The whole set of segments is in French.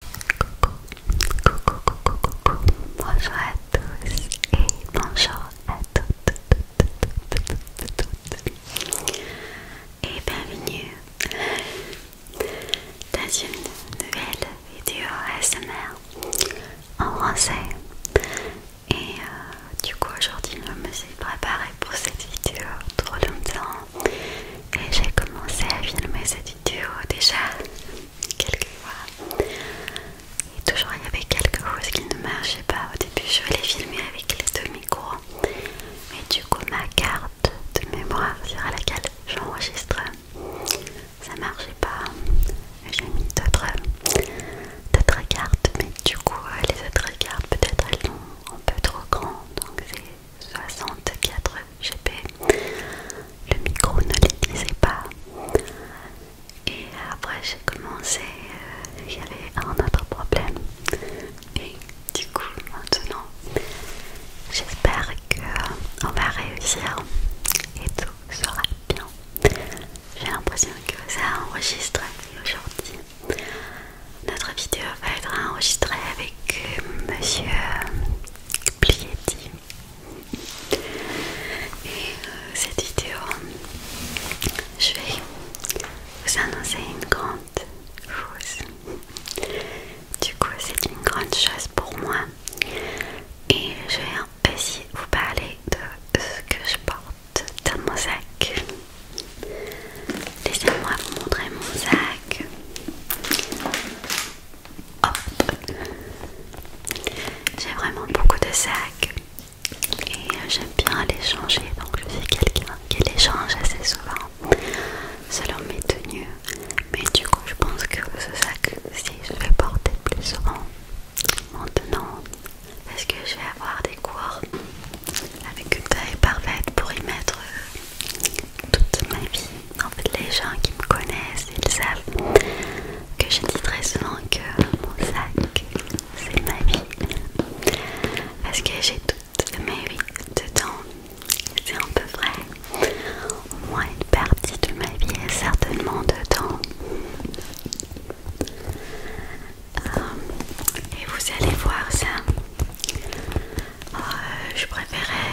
Coucou, coucou, coucou, coucou, bonjour à tous et bonjour à toutes, et bienvenue dans une nouvelle vidéo ASMR en français. Et euh, du coup, aujourd'hui, je me suis préparée pour cette vidéo trop longtemps et j'ai commencé à filmer cette vidéo déjà quelques fois et toujours il y avait quelque chose qui ne marchait pas au début je voulais filmer avec les deux micros mais du coup ma carte de mémoire sur laquelle j'enregistre ça marchait pas j'ai mis d'autres cartes mais du coup les autres cartes peut-être elles sont un peu trop grandes donc 64 GP Le micro ne l'utilisait pas. Et après j'ai commencé, euh, il y avait un autre problème. Et du coup maintenant, j'espère que on va réussir et tout sera bien. J'ai l'impression que ça enregistre aujourd'hui. Notre vidéo va être enregistrée avec euh, Monsieur Plietti. Et euh, cette vidéo, je vais vous annoncer une grande chose. Du coup, c'est une grande chose pour moi. Et je vais aussi vous parler de ce que je porte dans mon sac. Laissez-moi vous montrer mon sac. J'ai vraiment beaucoup de sacs et euh, j'aime bien les changer donc je suis quelqu'un qui les change assez souvent selon mes tenues mais du coup je pense que ce sac si je vais porter plus souvent maintenant parce que je vais avoir des cours avec une taille parfaite pour y mettre euh, toute ma vie en fait les gens qui me connaissent, ils savent que je dis très souvent que mon sac c'est ma vie parce que j'ai toutes mes vies dedans, c'est un peu vrai, au moins une partie de ma vie est certainement dedans. Euh, et vous allez voir ça euh, je préférais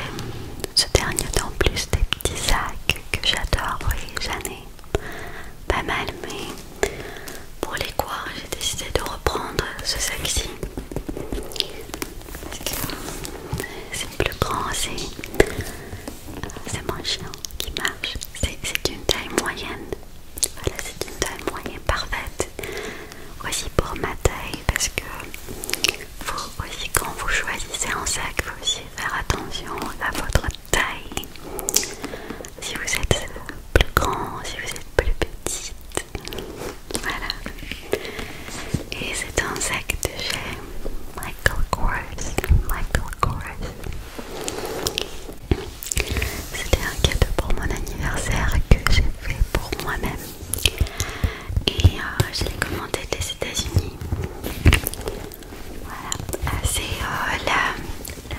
ce dernier temps plus des petits sacs que j'adore, vous voyez, j'en ai pas mal, mais pour les quoi, j'ai décidé de reprendre ce sac-ci. C'est plus grand, c'est moins chiant, qui marche, c'est une taille moyenne. Voilà, c'est une taille moyenne parfaite aussi pour ma taille parce que aussi quand vous choisissez un sac faut aussi faire attention à votre taille si vous êtes plus grand si vous êtes plus petite voilà et c'est un sac de chez Michael Kors Michael Kors c'était un cadeau pour mon anniversaire que j'ai fait pour moi-même et euh, je l'ai commandé des États-Unis. Voilà, ah, c'est euh, la,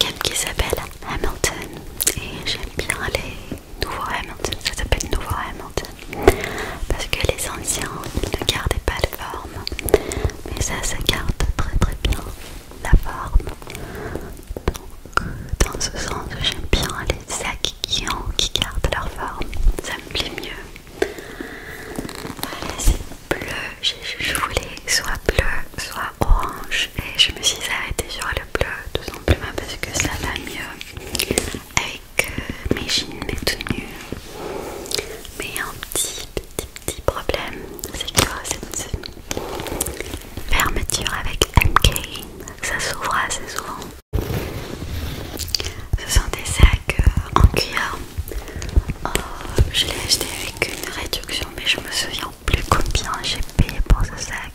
gamme qui s'appelle Hamilton et j'aime bien les nouveaux Hamilton, ça s'appelle nouveau Hamilton parce que les anciens ne gardaient pas la forme, mais ça, ça garde très très bien la forme dans ce sens j'aime bien les sacs qui, ont, qui gardent leur forme, ça me plaît mieux. Voilà, c'est bleu, je, voulais soit bleu, soit orange, et je me suis arrêtée sur le bleu tout simplement parce que ça va mieux avec euh, mes jeans, mes tenues. Mais un petit, petit, petit problème, c'est que cette fermeture avec MK, ça s'ouvre assez souvent. Ce sont des sacs euh, en cuir. Euh, je l'ai acheté avec une réduction, mais je me souviens plus combien j'ai payé pour ce sac.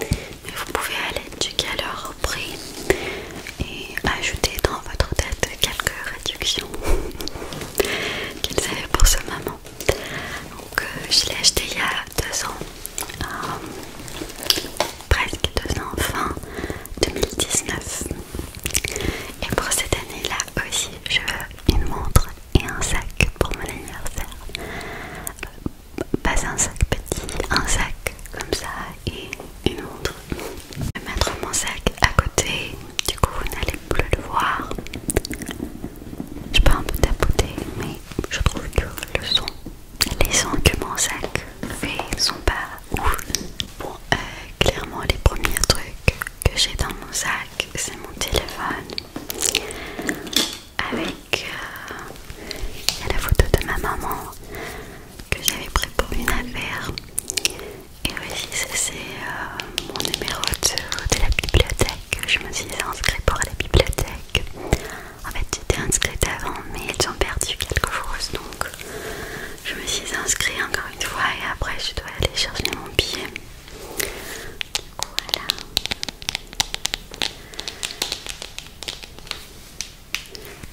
Mais euh, vous pouvez aller du au prix et ajouter dans votre tête quelques réductions qu'ils avaient pour ce moment. Donc, euh, je l'ai acheté il y a deux ans, euh, presque deux ans, fin 2019. Et pour cette année-là aussi, je veux une montre et un sac pour mon anniversaire. Euh, pas un sac petit, un sac comme ça et une montre. Je vais mettre mon sac à côté, du coup vous n'allez plus le voir je peux un peu tapoter, mais je trouve que le son, les sons que mon sac fait sont pas ouf. Bon, euh, clairement, les premiers trucs que j'ai dans mon sac, c'est mon téléphone avec euh, la photo de ma maman que j'avais pris pour une affaire. Et aussi, ça c'est euh, mon numéro de, la bibliothèque. Je me suis inscrite pour la bibliothèque. En fait, j'étais inscrite avant, mais ils ont perdu quelque chose. Donc, je me suis inscrite encore une fois et après, je dois aller chercher mon billet. voilà.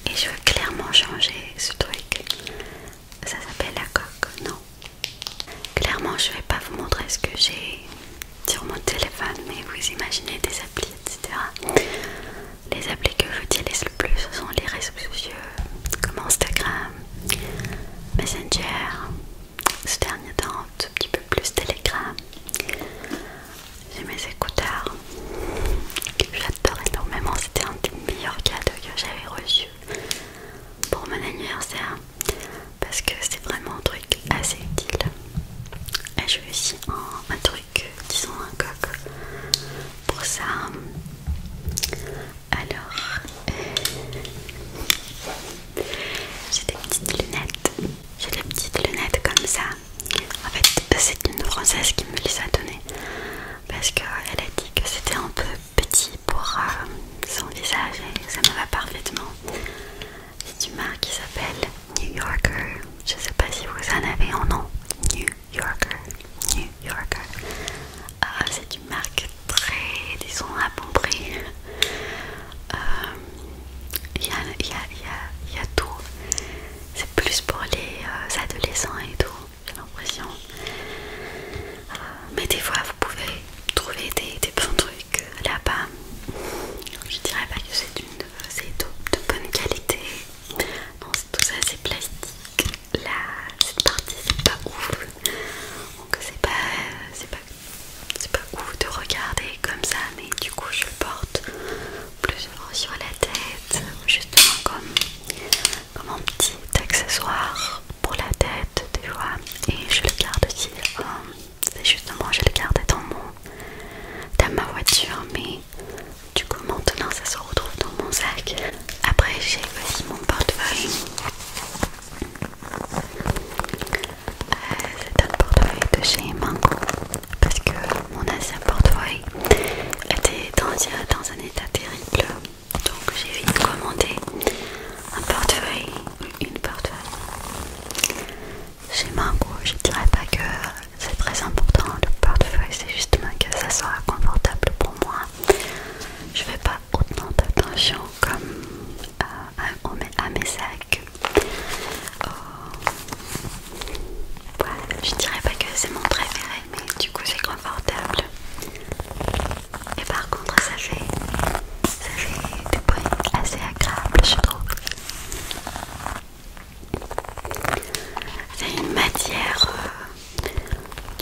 Et je veux clairement changer ce truc. Ça s'appelle la coque, non Clairement, je vais pas vous montrer ce que j'ai sur mon téléphone, mais vous imaginez des applis, etc. Les applis que j'utilise le plus, ce sont les réseaux sociaux comme Instagram, Messenger, ce dernier temps, un tout petit peu plus Telegram. J'ai mes écouteurs que j'adore énormément, c'était un des meilleurs cadeaux que j'avais reçus pour mon anniversaire parce que c'est vraiment un truc assez utile. Et je veux aussi un, truc, disons un coq pour ça. Alors, euh, j'ai des petites lunettes. J'ai des petites lunettes comme ça. En fait, c'est une française qui me les a données parce qu'elle a dit que c'était un peu petit pour euh, son visage et ça me va parfaitement. C'est une marque qui s'appelle New Yorker. Je sais pas si vous en avez un nom. New Yorker. New Yorker. Ah, c'est une marque très, disons, à bon prix. Il euh, y, a, tout. C'est plus pour les euh, adolescents et tout, j'ai l'impression. mais des fois, vous pouvez trouver des, bons trucs là-bas. Je dirais pas que c'est une de, bonne qualité. Non, tout ça c'est plastique. Là, cette partie c'est pas ouf. Donc c'est pas, c'est pas, ouf de regarder comme ça. Mais du coup, je le porte plus sur la tête, justement comme, comme un petit accessoire pour la tête, tu vois. Et je le garde aussi. Euh, c'est justement, je le garde dans mon, dans ma voiture, mais du coup maintenant ça se retrouve dans mon sac. Après j'ai aussi mon portefeuille. Euh, c'est un portefeuille de chez Mango parce que mon ancien portefeuille était dans un état terrible donc j'ai vite commandé un portefeuille, une portefeuille. Chez Mango, je dirais pas que c'est très important le portefeuille, c'est justement que ça sera confortable pour moi. Je fais pas autant d'attention comme euh, à mes sacs. Je oh. je dirais pas que c'est mon préféré, mais du coup c'est confortable. Et par contre, ça fait, ça fait du assez agréable, je trouve. C'est une matière euh,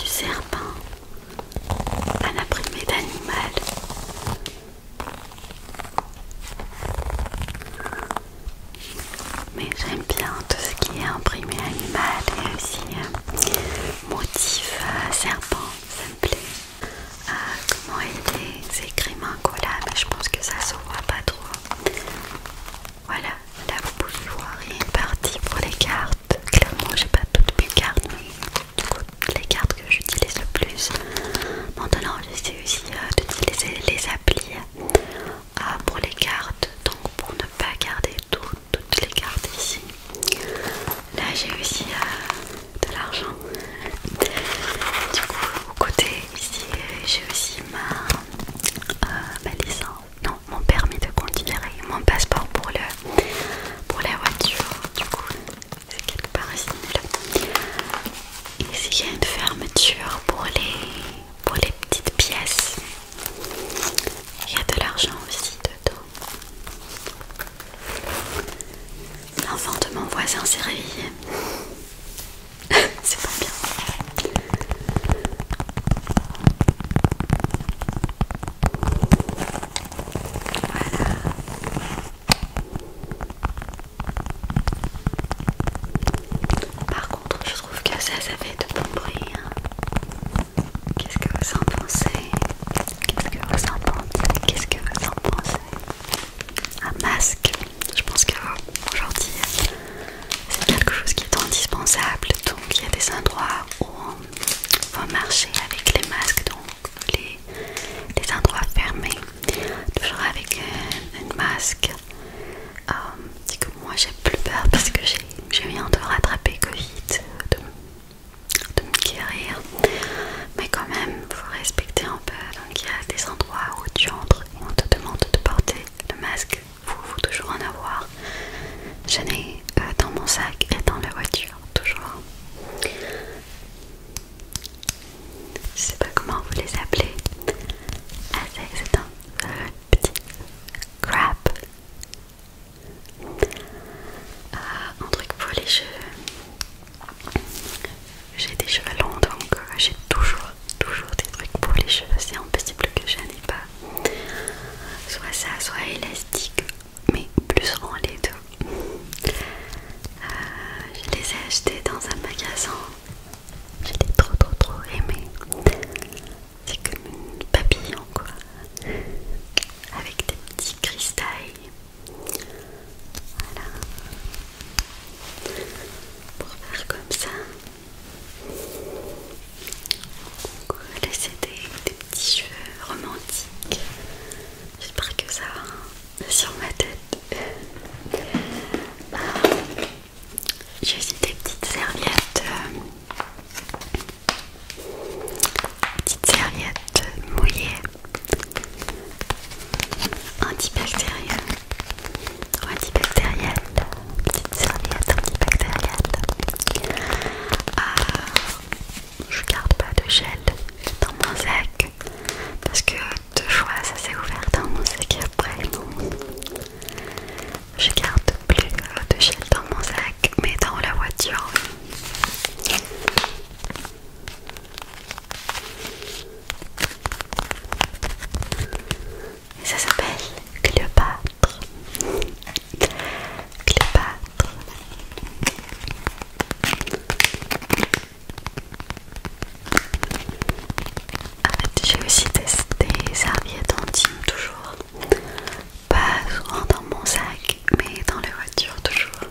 du serpent, un imprimé d'animal. Mais j'aime bien tout ce qui est imprimé animal et aussi euh, motif euh, serpent, ça me plaît. Ah, comment il est écrit mon là, mais je pense que ça se voit pas trop. Voilà, là vous pouvez voir, il y a une partie pour les cartes. Clairement, j'ai pas toutes mes cartes, du coup, les cartes que j'utilise le plus. Maintenant, j'essaie aussi euh, d'utiliser les applis euh, pour les cartes, donc pour ne pas garder tout toutes les cartes ici. Là j'ai aussi euh, de l'argent. Du coup au côté ici euh, j'ai aussi ma, euh, ma licence, non mon permis de conduire mon passeport pour, le, pour la voiture. Du coup c'est quelque part ici. Ici il y a une fermeture pour les, pour les petites pièces. Il y a de l'argent aussi dedans. L'enfant de mon voisin s'est réveillé. C'est pas bien. Par contre, je trouve que ça, ça fait de bon bruit. Hein. Qu'est-ce que vous en pensez Qu'est-ce que vous en pensez Qu'est-ce que vous en pensez Un masque, je pense aujourd'hui c'est quelque chose qui est indispensable. Donc il y a des endroits où on va marcher avec les masques, donc les, endroits fermés, toujours avec un, masque. Euh, moi j'ai plus peur parce que j'ai viens euh, de rattraper Covid, de me guérir, mais quand même, faut respecter un peu. Donc, il y a des endroits où tu entres et on te demande de porter le masque. vous, vous toujours en avoir. Je n'ai pas euh, dans mon sac et dans la voiture, toujours. Je sais pas comment vous les appelez. Ah, c'est un euh, petit crap. Euh, un truc pour les cheveux. J'ai des cheveux longs donc euh, j'ai toujours, toujours des trucs pour les cheveux. C'est impossible que je n'ai pas. Soit ça, soit élastique, mais plus rond les deux. Euh, je les ai achetés dans un magasin. J'ai trop trop trop aimé. C'est comme une papillon quoi avec des petits cristaux, Voilà. Pour faire comme ça. Laissez des, des petits cheveux romantiques. J'espère que ça va hein, sur ma tête. Bah, j'ai aussi des petites serviettes. Euh, Petite serviette mouillée, antibactérienne, antibactérienne, petite serviette antibactérienne. Ah, je garde pas de gel dans mon sac parce que deux fois ça s'est ouvert dans mon sac et après Je garde plus euh, de gel dans mon sac, mais dans la voiture, et ça s'appelle Cléopâtre. Cléopâtre. En j'ai aussi testé serviette anti toujours pas souvent dans mon sac, mais dans les voitures, toujours.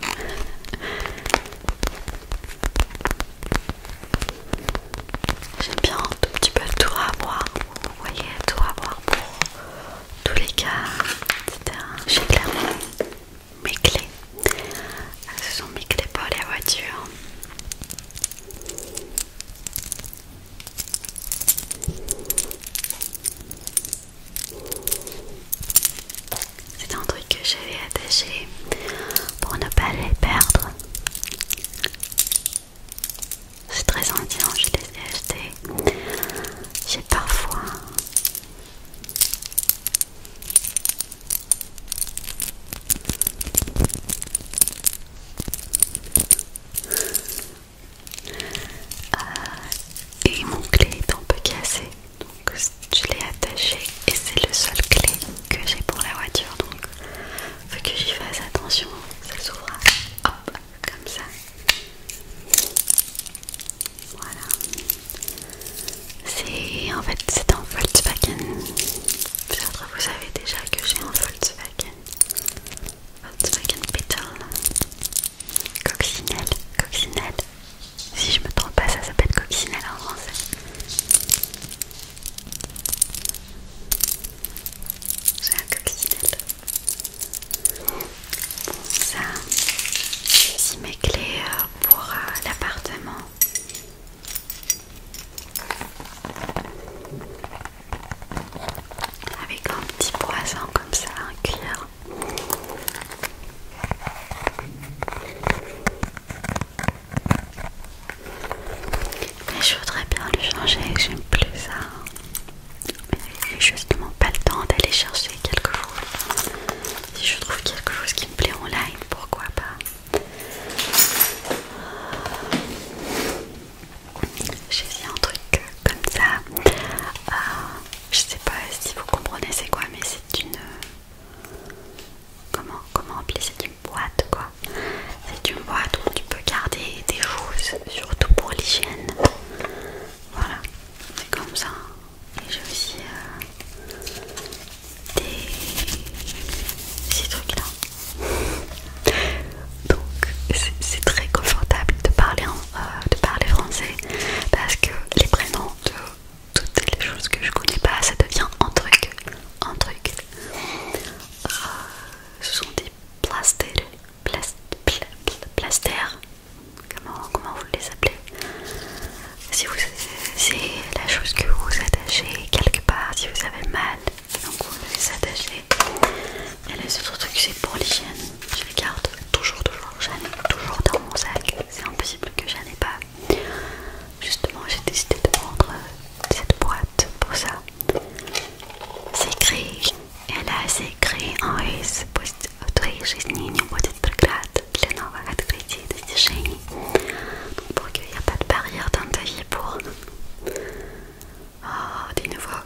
J'aime bien un tout petit peu tout avoir, vous voyez, tout avoir pour tous les cas, etc. J'ai clairement mes clés. Ah, ce sont mes clés pour les voitures. C'est un truc que j'avais attaché pour ne pas les perdre. C'est très indien, je les ai achetés. J'ai parfois euh, et mon clé est un peu cassé, donc je l'ai attaché et c'est le seul clé que j'ai pour la voiture, donc faut que j'y fasse attention, ça s'ouvre, hop, comme ça. Voilà. C'est en fait c'est un Volkswagen. Peut-être vous savez déjà que j'ai un Volkswagen. Volkswagen Beetle. Coccinelle, coccinelle. Si je me trompe pas, ça s'appelle coccinelle en français. C'est un coccinelle. ça, c'est mes clés euh, pour euh, l'appartement. Avec un petit poisson comme ça, un cuir. Mais je voudrais bien le changer, j'aime plus ça. Mais n'ai justement pas le temps d'aller chercher quelque chose. Si je trouve quelque chose qui me plaît en live, pourquoi pas J'ai vu un truc comme ça. Euh, je sais pas si vous comprenez c'est quoi, mais c'est une. Euh, comment comment appeler C'est une boîte quoi. C'est une boîte où tu peux garder des choses, surtout pour l'hygiène. Voilà, c'est comme ça. Et j'ai aussi euh, des ces trucs là. Donc c'est très confortable de parler en euh, de parler français parce que les prénoms de toutes les choses que je connais pas, ça devient un truc, un truc. Euh, ce sont des plaster Comment, comment vous les appelez Si vous, c'est la chose que vous attachez quelque part, si vous avez mal, donc vous les attachez. Et les autres trucs, c'est pour l'hygiène. Je les garde toujours, toujours. J'en ai toujours dans mon sac. C'est impossible que n'en ai pas. Justement, j'ai décidé de prendre euh, cette boîte pour ça. C'est écrit. Et là, écrit en russe. Pour qu'il n'y ait pas de barrière dans ta vie pour oh, d'une nouveaux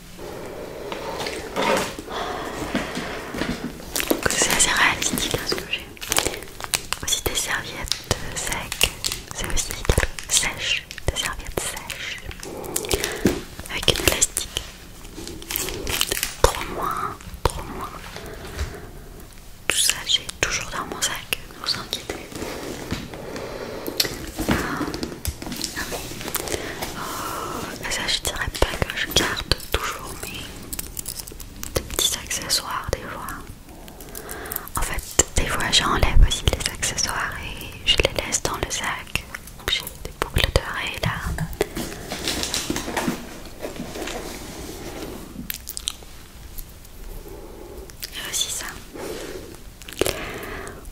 C'est assez réalistique hein, ce que j'ai. Aussi des serviettes secs, c'est aussi sèche, des serviettes sèches avec une élastique. Trop moins, trop moins. Tout ça, j'ai toujours dans mon sac, ne vous inquiétez. Ah. Ah mais... Oh, ça je dirais pas que je garde toujours mes petits accessoires des fois. En fait, des fois j'enlève aussi les accessoires et je les laisse dans le sac. j'ai des boucles d'oreilles là. J'ai aussi ça.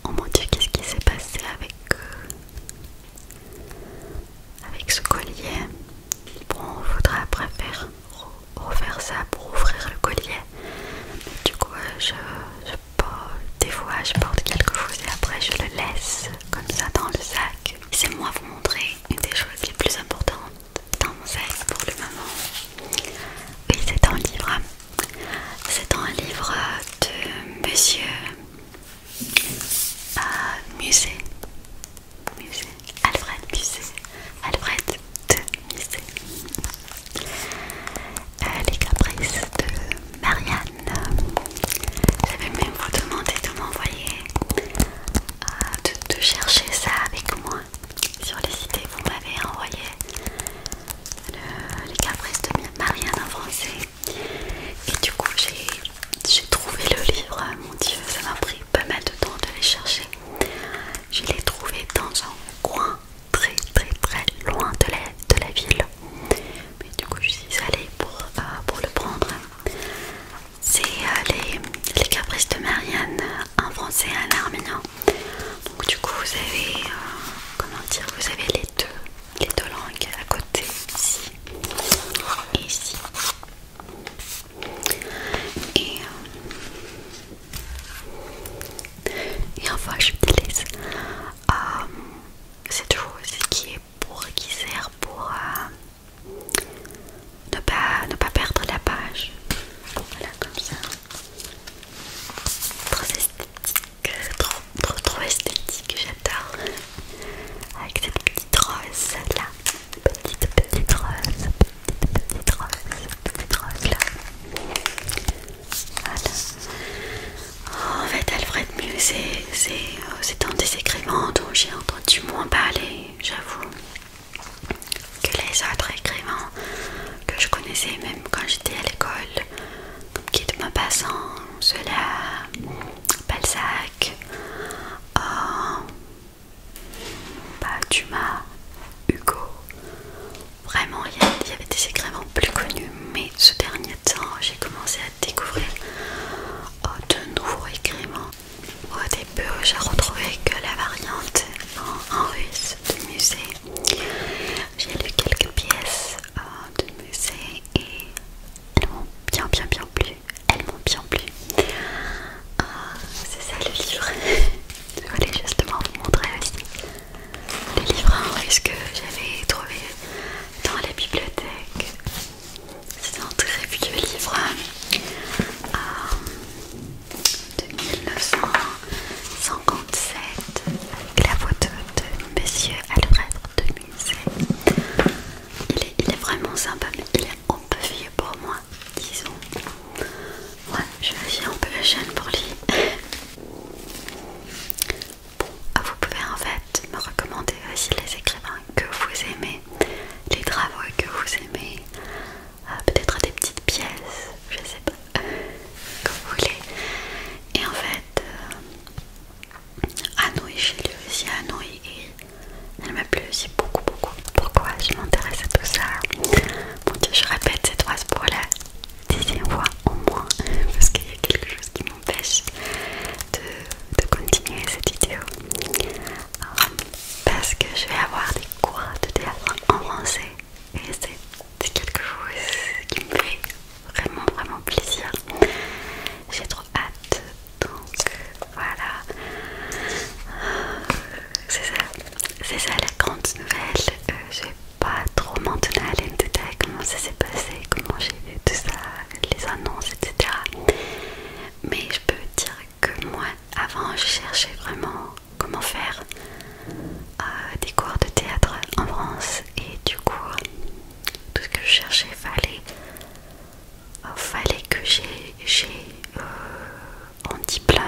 Oh mon dieu, qu'est-ce qui s'est passé avec euh, avec ce collier Bon, on voudra après faire refaire ça pour ouvrir le collier. du coup, euh, je, porte, des fois, je porte quelque chose et après je le laisse comme ça dans le sac. C'est moi vous montrer une des choses les plus importantes dans mon sac pour le moment. Oui, c'est un livre. C'est un livre de Monsieur Musée. Euh, Musée. Alfred Musée. Alfred de Musée. Euh, les caprices de Marianne. J'avais même vous demandé de m'envoyer, euh, de, chercher ça avec moi sur les idées. Vous m'avez envoyé euh, les caprices de Marianne en français. Et du coup, j'ai trouvé le livre. Mon Dieu, ça m'a pris pas mal de temps de les chercher. Je l'ai trouvé dans un coin très très très loin de la, de la ville. Mais du coup, je suis allée pour, euh, pour le prendre. C'est euh, les, caprices de Marianne en français en arménien. Donc du coup vous avez euh, comment dire vous avez les deux les deux langues à côté ici et ici et, euh, et enfin laisse euh, cette chose qui est pour qui sert pour euh, ne pas ne pas perdre la page voilà comme ça très trop, trop, trop esthétique, j'adore. Avec cette petite rose là, petite, petite rose, petite, petite rose, petite rose là. Voilà. Oh, en fait, Alfred c'est c'est un des écrivains dont j'ai entendu moins parler, j'avoue, que les autres écrivains que je connaissais même quand j'étais à l'école qui de Maupassant, cela, Balzac, ah, bah, Dumas, Hugo. Vraiment, il y, avait des écrivains plus connus, mais ce dernier temps, j'ai commencé à découvrir oh, de nouveaux écrivains. Au début, j'ai retrouvé que la variante en, en russe du musée j'ai lu quelques pièces euh, de musée et elles m'ont bien, bien, bien plu. Elles m'ont bien plu. Euh, c'est ça le livre. Je voulais justement vous montrer Le livre livres à hein, que j'avais trouvé dans la bibliothèque. C'est un très vieux livre euh, de 1900. 57 la photo de Monsieur Alfred de Musée. Il est, vraiment sympa, mais il est un peu vieux pour moi, disons. Ouais, je suis un peu la jeune pour lui. vous pouvez en fait me recommander aussi les écrivains que vous aimez, les travaux que vous aimez, euh, peut-être des petites pièces je sais pas, comme vous voulez. Et en fait, euh, j'ai lu aussi et elle m'a plu aussi beaucoup, beaucoup. Pourquoi je m'intéresse à tout ça Bon, Dieu, je répète cette phrase pour la dixième fois au moins, parce qu'il y a quelque chose qui m'empêche de, continuer cette vidéo. Euh, parce que je vais avoir des cours de théâtre en français et c'est quelque chose qui me fait vraiment vraiment plaisir. J'ai trop hâte donc voilà. C'est ça, c'est ça la grande nouvelle. je euh, j'ai pas trop maintenu à les comment ça s'est passé, comment j'ai eu tout ça, les annonces, etc. Mais je peux dire que moi, avant, je cherchais vraiment comment faire euh, des cours de théâtre en France et du coup tout ce que je cherchais fallait euh, fallait que j'ai euh, un diplôme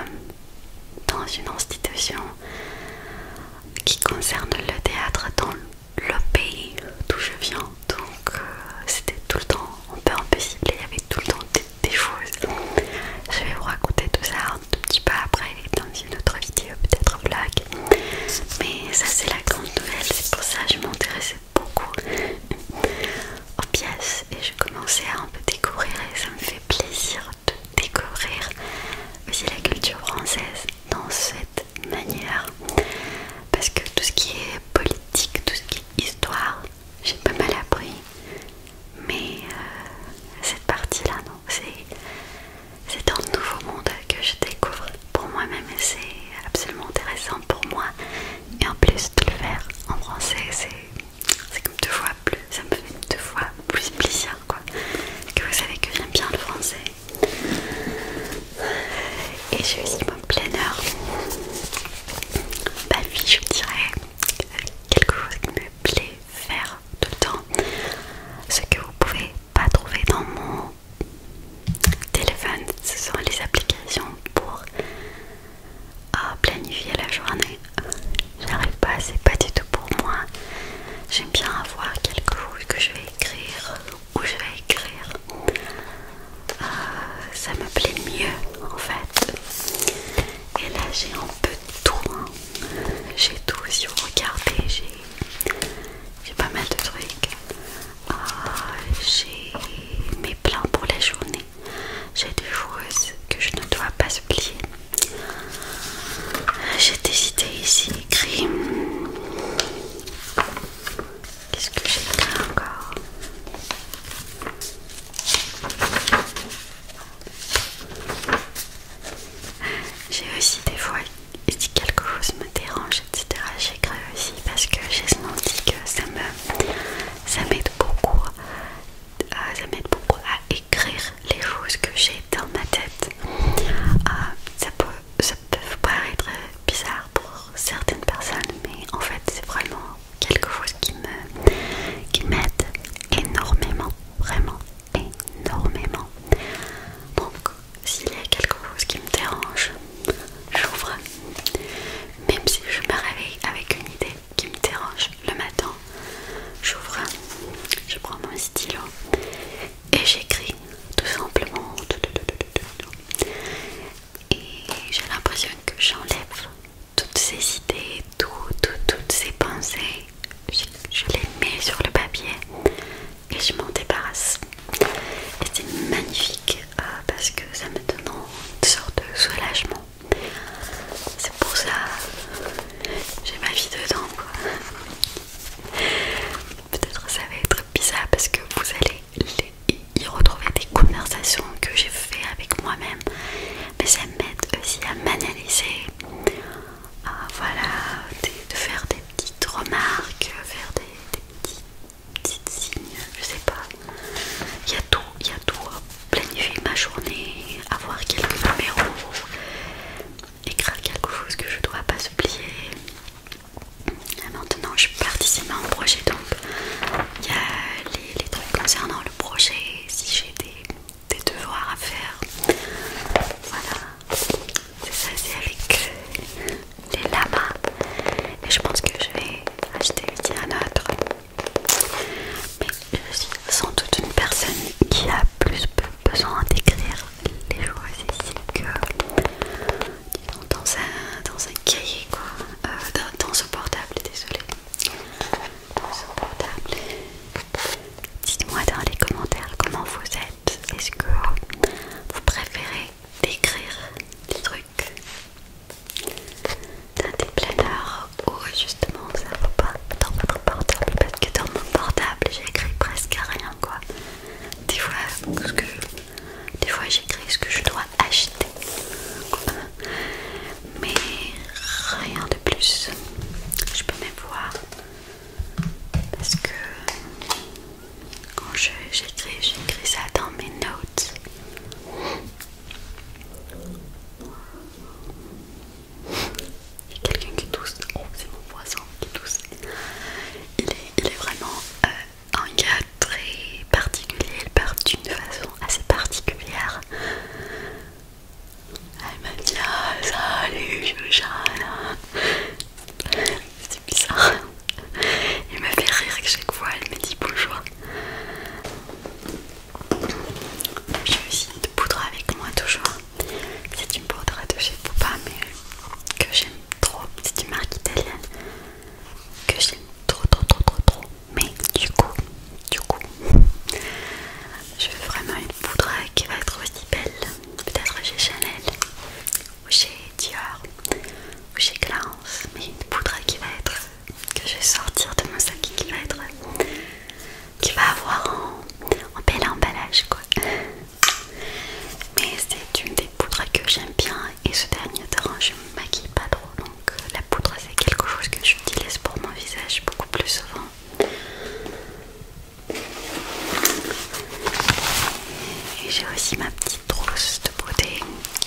dans une institution qui concerne le théâtre dans le pays d'où je viens donc c'était tout le temps un peu impossible il y avait tout le temps des choses je vais vous raconter tout ça un tout petit peu après dans une autre vidéo, peut-être blague Mais ça c'est la grande nouvelle, c'est pour ça que je m'intéressais beaucoup aux pièces et je commençais à un peu découvrir et ça me fait plaisir de découvrir aussi la culture française dans cette manière parce que tout ce qui est politique, tout ce qui est histoire, j'ai pas mal appris mais euh, cette partie-là, non, c'est un nouveau monde que je découvre pour moi-même et c'est absolument intéressant pour moi. Et en plus de le faire en français, c'est comme deux fois plus, ça me fait deux fois plus plaisir quoi. Que vous savez que j'aime bien le français. Et j'ai aussi mon planeur. Bah vie, je dirais quelque chose qui me plaît faire tout le temps ce que vous pouvez pas trouver dans mon téléphone ce sont les applications pour euh, planifier la journée j'arrive pas c'est pas du tout pour moi j'aime bien avoir quelque chose que je vais écrire ou je vais écrire euh, ça me plaît mieux en fait et là j'ai un peu tout. J'ai tout. Si vous regardez, j'ai pas mal de trucs. Ah, j'ai mes plans pour la journée. J'ai des choses que je ne dois pas oublier. J'ai des idées ici écrites. Qu'est-ce que j'ai écrit encore j'ai aussi des fois, si quelque chose me dérange, etc., j'écris aussi parce que j'ai senti que ça m'aide euh, ça beaucoup, beaucoup à écrire les choses que j'ai dans ma tête. Euh, ça, peut, paraître bizarre pour certaines personnes, mais en fait, c'est vraiment quelque chose qui m'aide énormément, vraiment énormément. Donc, s'il y a quelque chose qui me dérange, j'ouvre. Même si je me réveille avec une idée qui me dérange le matin, j'ouvre, je prends mon stylo et j'écris tout simplement. Et j'ai l'impression que j'enlève toutes ces idées, toutes ces pensées, je, les mets sur le papier et je m'en débarrasse. Et c'est magnifique euh, parce que ça me donne une sorte de soulagement. C'est pour ça j'ai ma vie dedans. Peut-être ça va être bizarre parce que vous allez y retrouver des conversations que j'ai fait avec moi-même, mais ça m'aide aussi à m'analyser, ah, voilà, de, faire des petites remarques, faire des, petites signes, je sais pas. Il y a tout, il y a tout. Hein. Planifier ma journée, avoir quelques numéros, écrire quelque chose que je dois pas oublier. maintenant, je participe à un projet, donc il y a les trucs concernant le projet, si j'ai des des devoirs à faire. Voilà, c'est ça, c'est avec euh, les lamas. Et je pense que je vais acheter une un autre. Mais je suis sans doute une personne qui a plus besoin d'écrire les choses ici que dans un, dans un cahier, quoi. Euh, dans, dans portable, désolé. Dites-moi dans les commentaires comment vous êtes. Est-ce que vous préférez écrire des trucs dans des planeurs ou justement ça ne va pas dans votre portable parce que dans mon portable j'écris presque rien quoi. des fois j'écris ce que je dois acheter mais rien de plus. Je peux même voir parce que quand j'écris, j'écris ça dans mes notes. Il y a quelqu'un qui tousse. Oh, c'est mon voisin qui tousse. Il est, vraiment euh, un gars très particulier. Il part d'une façon assez particulière. Elle m'a dit ah, salut, je C'est bizarre. elle me fait rire que chaque fois elle me dit bonjour. J'ai aussi une poudre avec moi toujours. C'est une poudre de chez Popa mais que j'aime trop. C'est une marque italienne que j'aime trop trop trop trop trop. Mais du coup du coup je veux vraiment une poudre qui va être aussi belle peut-être chez Chanel ou chez Dior ou chez Clarence mais une poudre qui va être que je vais sortir de mon sac qui va être qui va avoir un bel emballage quoi mais c'est une des poudres que j'aime bien et ce dernier rend, je me maquille pas trop donc euh, la poudre c'est quelque chose que j'utilise pour mon visage beaucoup plus souvent et j'ai aussi ma petite trousse de beauté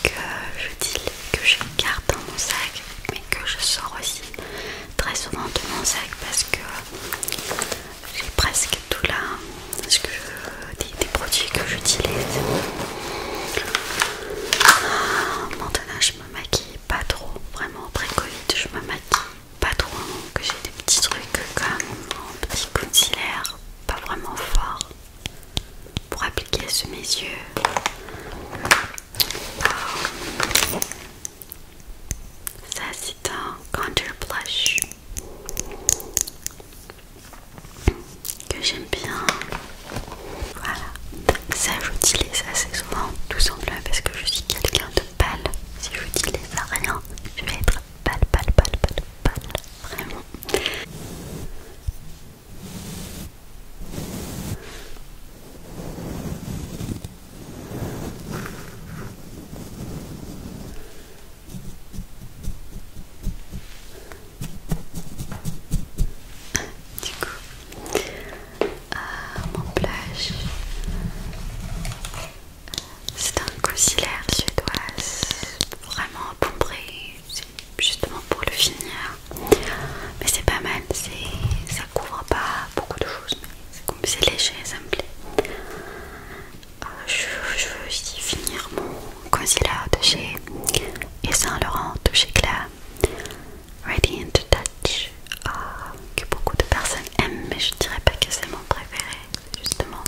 que je dis que je garde dans mon sac, mais que je sors aussi très souvent de mon sac parce que j'ai presque tout là, que des, des produits que j'utilise. Ah, maintenant je me maquille pas trop, vraiment après je me maquille pas trop, hein, que j'ai des petits trucs comme un petit concealer, pas vraiment fort, pour appliquer sous mes yeux. Euh, ça c'est un contour blush que j'aime bien. Voilà. Ça, je dis les assez souvent, tout simplement parce que je suis quelqu'un de pâle. Si je dis les à rien, je vais être pâle, pâle, pâle, pâle, pâle, vraiment. Du coup, mon euh, plage. C'est un concealer suédoise, vraiment c'est justement pour le finir. Mais c'est pas mal, ça couvre pas beaucoup de choses, mais c'est léger, ça me plaît. Euh, je, veux aussi finir mon concealer de chez et Saint Laurent de chez Claire. Ready and to Touch euh, que beaucoup de personnes aiment mais je dirais pas que c'est mon préféré justement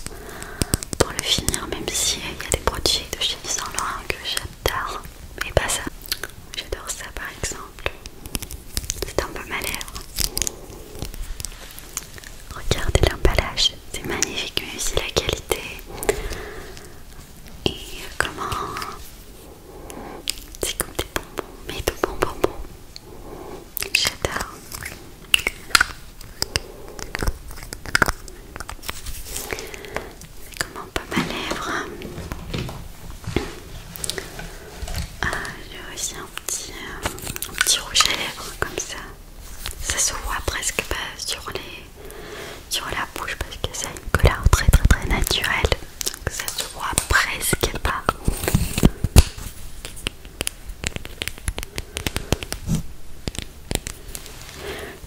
pour le finir même si il y a des produits de chez Saint Laurent que j'adore Mais pas ça j'adore ça par exemple c'est un peu ma regardez l'emballage c'est magnifique mais aussi la qualité et comment c'est comme des bonbons, mais de bonbons bonbons. J'adore. C'est comme un peu ma lèvre. Ah, j'ai aussi euh, un petit, rouge à lèvres comme ça. Ça se voit presque pas sur la bouche parce que ça a une couleur très très très naturelle ça se voit presque pas.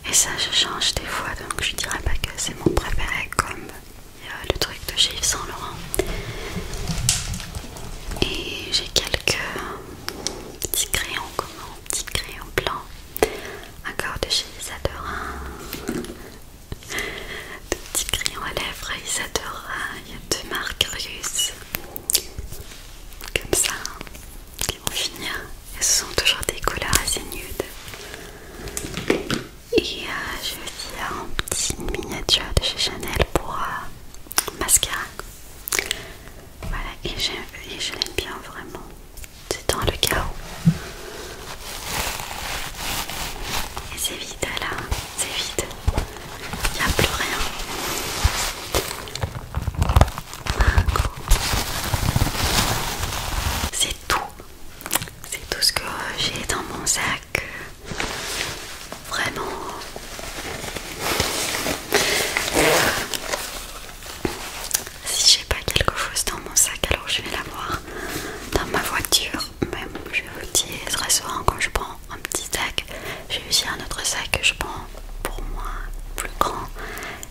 Et ça, je change des fois, donc je dirais pas que c'est mon préféré comme euh, le truc de chez Yves Saint Laurent. Et j'ai quelques petits crayons, comment petits crayons blancs encore de chez Laurent de petits crayons à lèvres a de marques russes, comme ça qui vont finir et ce sont toujours des couleurs assez nudes et euh, je un petit miniature de chez Chanel pour euh, mascara voilà et, et je l'aime bien vraiment c'est dans le chaos et c'est vide là, c'est vide. Il n'y a plus rien. C'est tout. C'est tout ce que j'ai dans mon sac. Vraiment. Si j'ai pas quelque chose dans mon sac, alors je vais l'avoir dans ma voiture même je vous dis très souvent quand je prends un petit sac, j'ai aussi un autre sac que je prends pour moi plus grand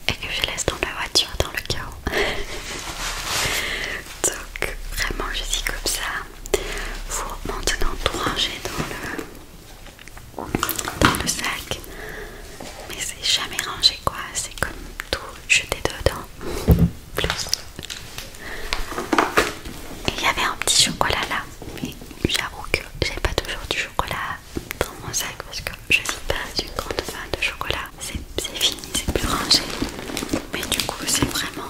et que je laisse dans la voiture dans le chaos. Donc vraiment je dis comme ça. Faut maintenant tout ranger dans le, dans le sac. Mais c'est jamais rangé quoi, c'est comme tout jeter dedans il y avait un petit chocolat là, mais j'avoue que j'ai pas toujours du chocolat dans mon sac parce que je suis pas une grande vin de chocolat. C'est fini, c'est plus rangé. Mais du coup, c'est vraiment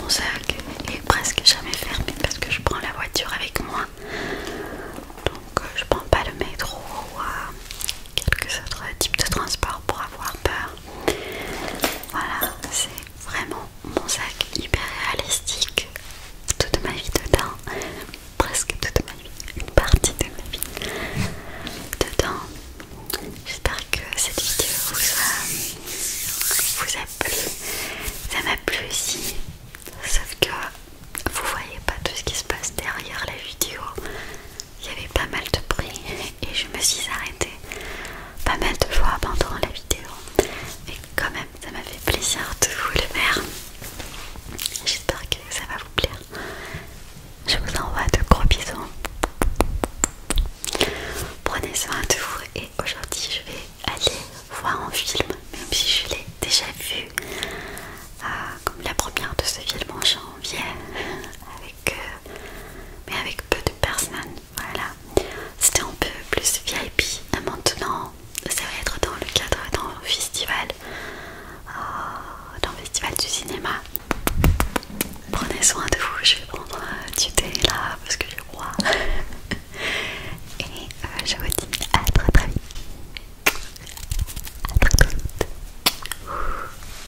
mon sac est presque jamais fermé parce que je prends la voiture avec moi. Donc, euh, je prends pas le métro quelques autres types de transport pour avoir peur. Voilà, c'est vraiment mon sac hyper réalistique. Toute ma vie dedans, presque toute ma vie, une partie de ma vie dedans. J'espère que cette vidéo vous a, vous a plu. Ça m'a plu aussi, sauf que vous voyez pas tout ce qui se passe derrière la vidéo il y avait pas mal de bruit et je me suis arrêtée pas mal de fois pendant la vidéo Mais quand même ça m'a fait plaisir de vous le faire j'espère que ça va vous plaire je vous envoie de gros bisous prenez soin de vous et aujourd'hui je vais aller voir un film même si je l'ai déjà vu euh, comme la première de ce film en janvier euh, mais avec peu de personnes. Voilà, c'était un peu plus VIP. Euh, maintenant, ça va être dans le cadre d'un festival, euh, Dans le festival du cinéma. Prenez soin de vous, je vais prendre du thé là parce que je crois. Et je vous dis à très très vite. À très très